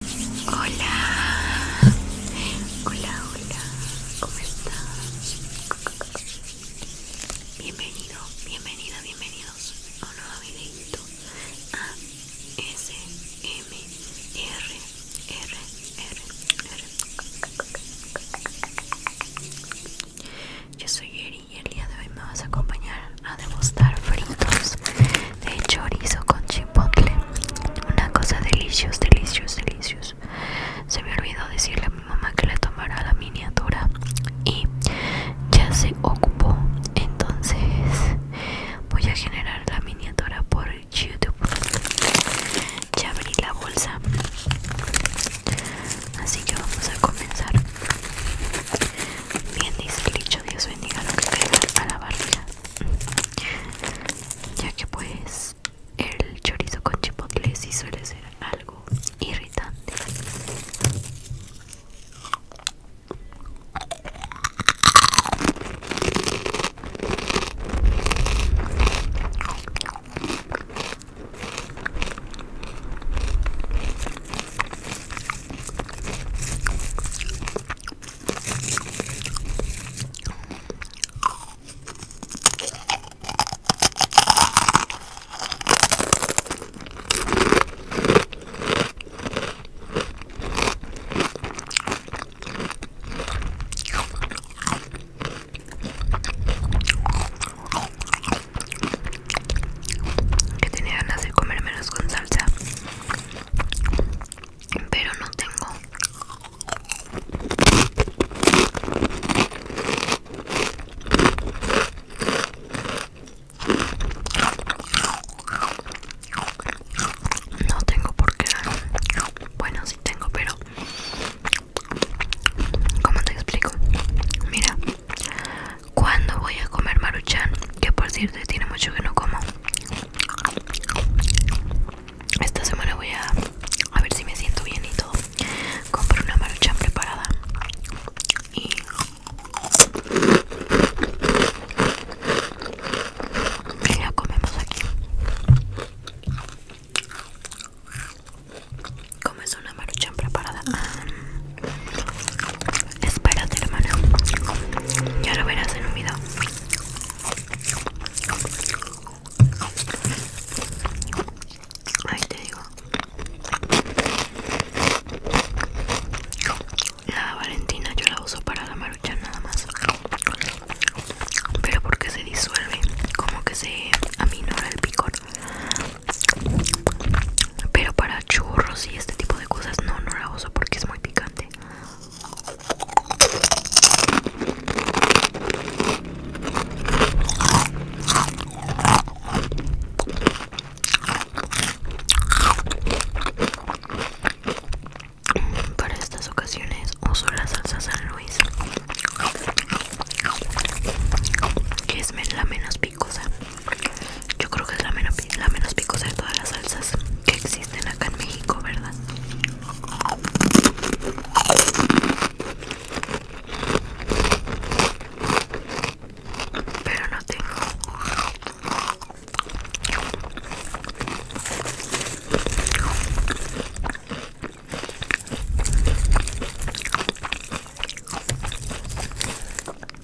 Hola, hola, hola, ¿cómo estás? Bienvenido, bienvenida, bienvenidos a un nuevo videito a S Yo soy Eri y el día de hoy me vas a acompañar a demostrar frutos de chorizo con chipotle. Una cosa deliciosa, deliciosa, deliciosa. Se me olvidó decirle a mi mamá que le tomara la miniatura y ya se ocupó. Entonces voy a generar la miniatura por YouTube. Ya abrí la bolsa. Así que vamos a comenzar. Bien dice dicho, Dios bendiga lo que caiga a la barriga ya que pues el chorizo con chipotle sí suele ser algo irritante que tenía ganas de comer menos con salsa pero no tengo no tengo por qué bueno sí tengo pero ¿Cómo te explico? Mira, ¿Cuándo voy a comer maruchan? Que por cierto tiene mucho que no como. Esta semana voy a, a ver si me siento bien y todo. Compro una maruchan preparada. Y... la comemos aquí. ¿Comes una maruchan preparada? Espérate, hermana. Ya lo verás en un video. Ahí te digo. La Valentina yo la uso para la marucha nada más. Pero porque se disuelve, como que se aminora el picor. Pero para churros y este tipo de cosas no, no la uso porque es muy picante. Mm, para estas ocasiones uso la salsa San Luis, que es la menos picosa. Yo creo que es la menos, picosa de todas las salsas que existen acá en México, ¿verdad? Pero no tengo.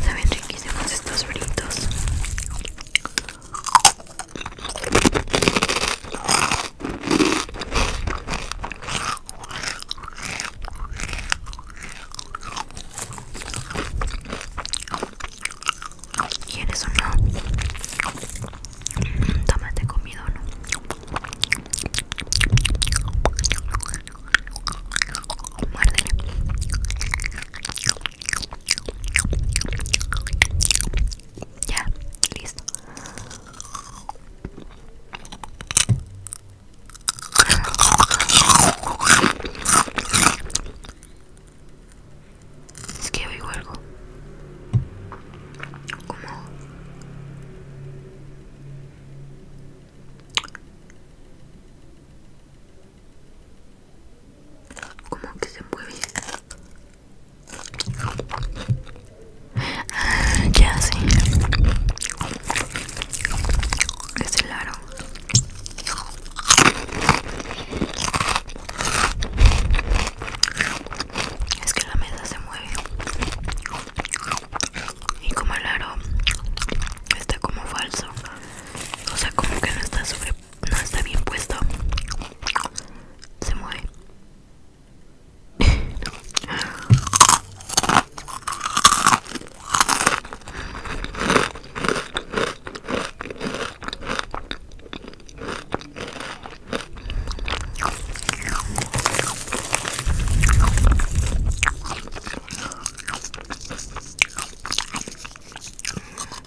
Saben riquísimos estos fritos. ¿Quieres o no? Mm, Tomate comido o no. Ya, listo. Es que oigo algo. Como... Como que se mueve. Ah, ya sí Es el aro Es que la mesa se mueve Y como el aro Está como falso O sea como que no está sobre no está bien puesto se mueve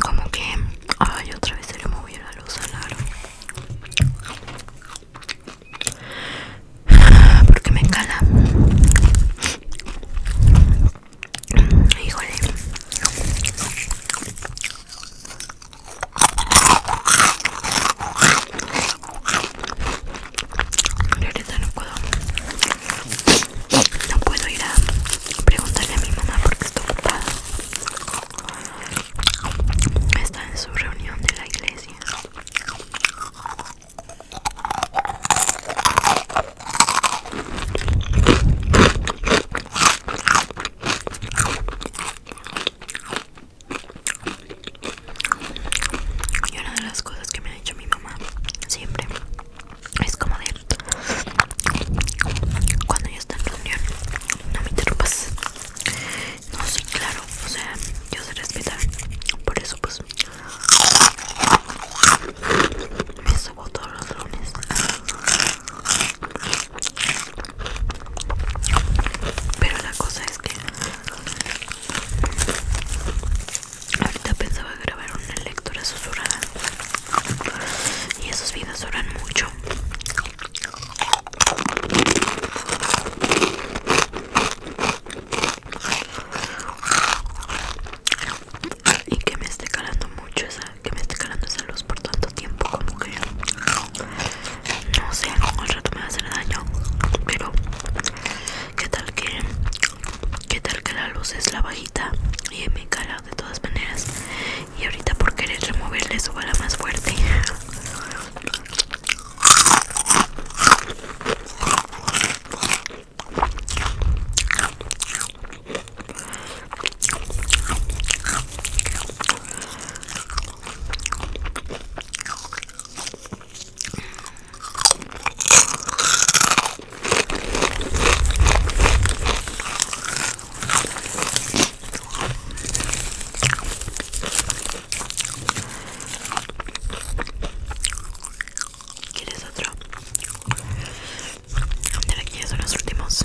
como que ay otra vez se le movió la luz al aro porque me encala híjole no puedo no puedo ir a preguntarle a mi mamá porque está ocupada. Está en su reunión de la iglesia. Y una de las cosas que me ha dicho mi mamá siempre es como de cuando yo estoy en reunión no me interrumpas no sé, claro o sea yo sé respetar por eso pues me subo todos los lunes pero la cosa es que Ahorita pensaba grabar una lectura susurrada. Y esos videos duran mucho. Y que me esté calando mucho esa, que me esté calando esa luz por tanto tiempo como que no sé, algún rato me va a hacer daño, pero qué tal que ¿Qué tal que la luz es la bajita? Y me cara de todas maneras. Y ahorita por querer removerle su bala más fuerte. ¿Quieres otro? De aquí ya son los últimos.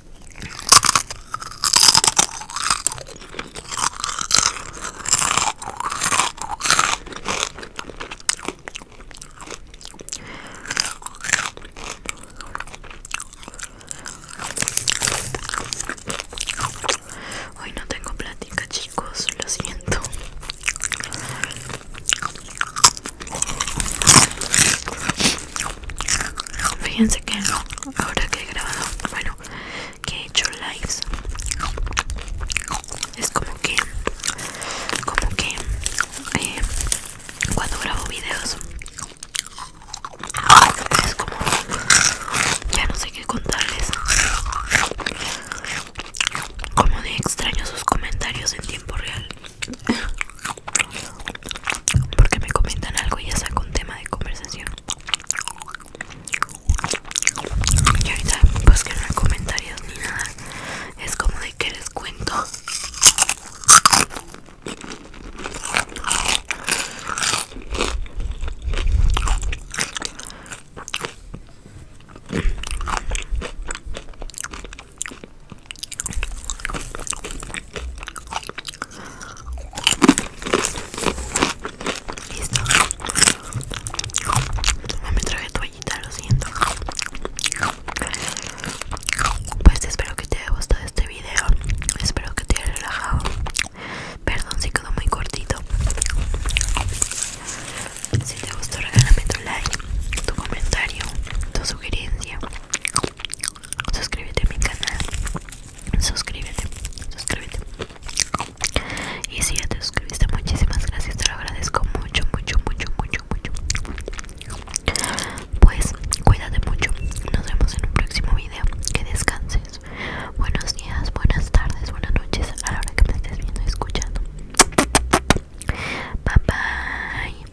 Hoy no tengo plática, chicos, lo siento. Fíjense que ahora que he grabado, bueno, que he hecho lives, es como que, como que eh, cuando grabo videos, es como, ya no sé qué contarles. Como de extraño sus comentarios en tiempo real porque me comentan algo y ya saco un tema de conversación y ahorita pues que no hay comentarios ni nada es como de que les cuento Listo. No me traje toallita, lo siento. Pues espero que te haya gustado este video. Espero que te haya relajado. Perdón si quedó muy cortito. Si te gustó regálame tu like, tu comentario, tu sugerencia suscríbete a mi canal suscríbete suscríbete y si ya te suscribiste muchísimas gracias te lo agradezco mucho mucho mucho mucho mucho pues cuídate mucho nos vemos en un próximo video que descanses buenos días buenas tardes buenas noches a la hora que me estés viendo y escuchando bye bye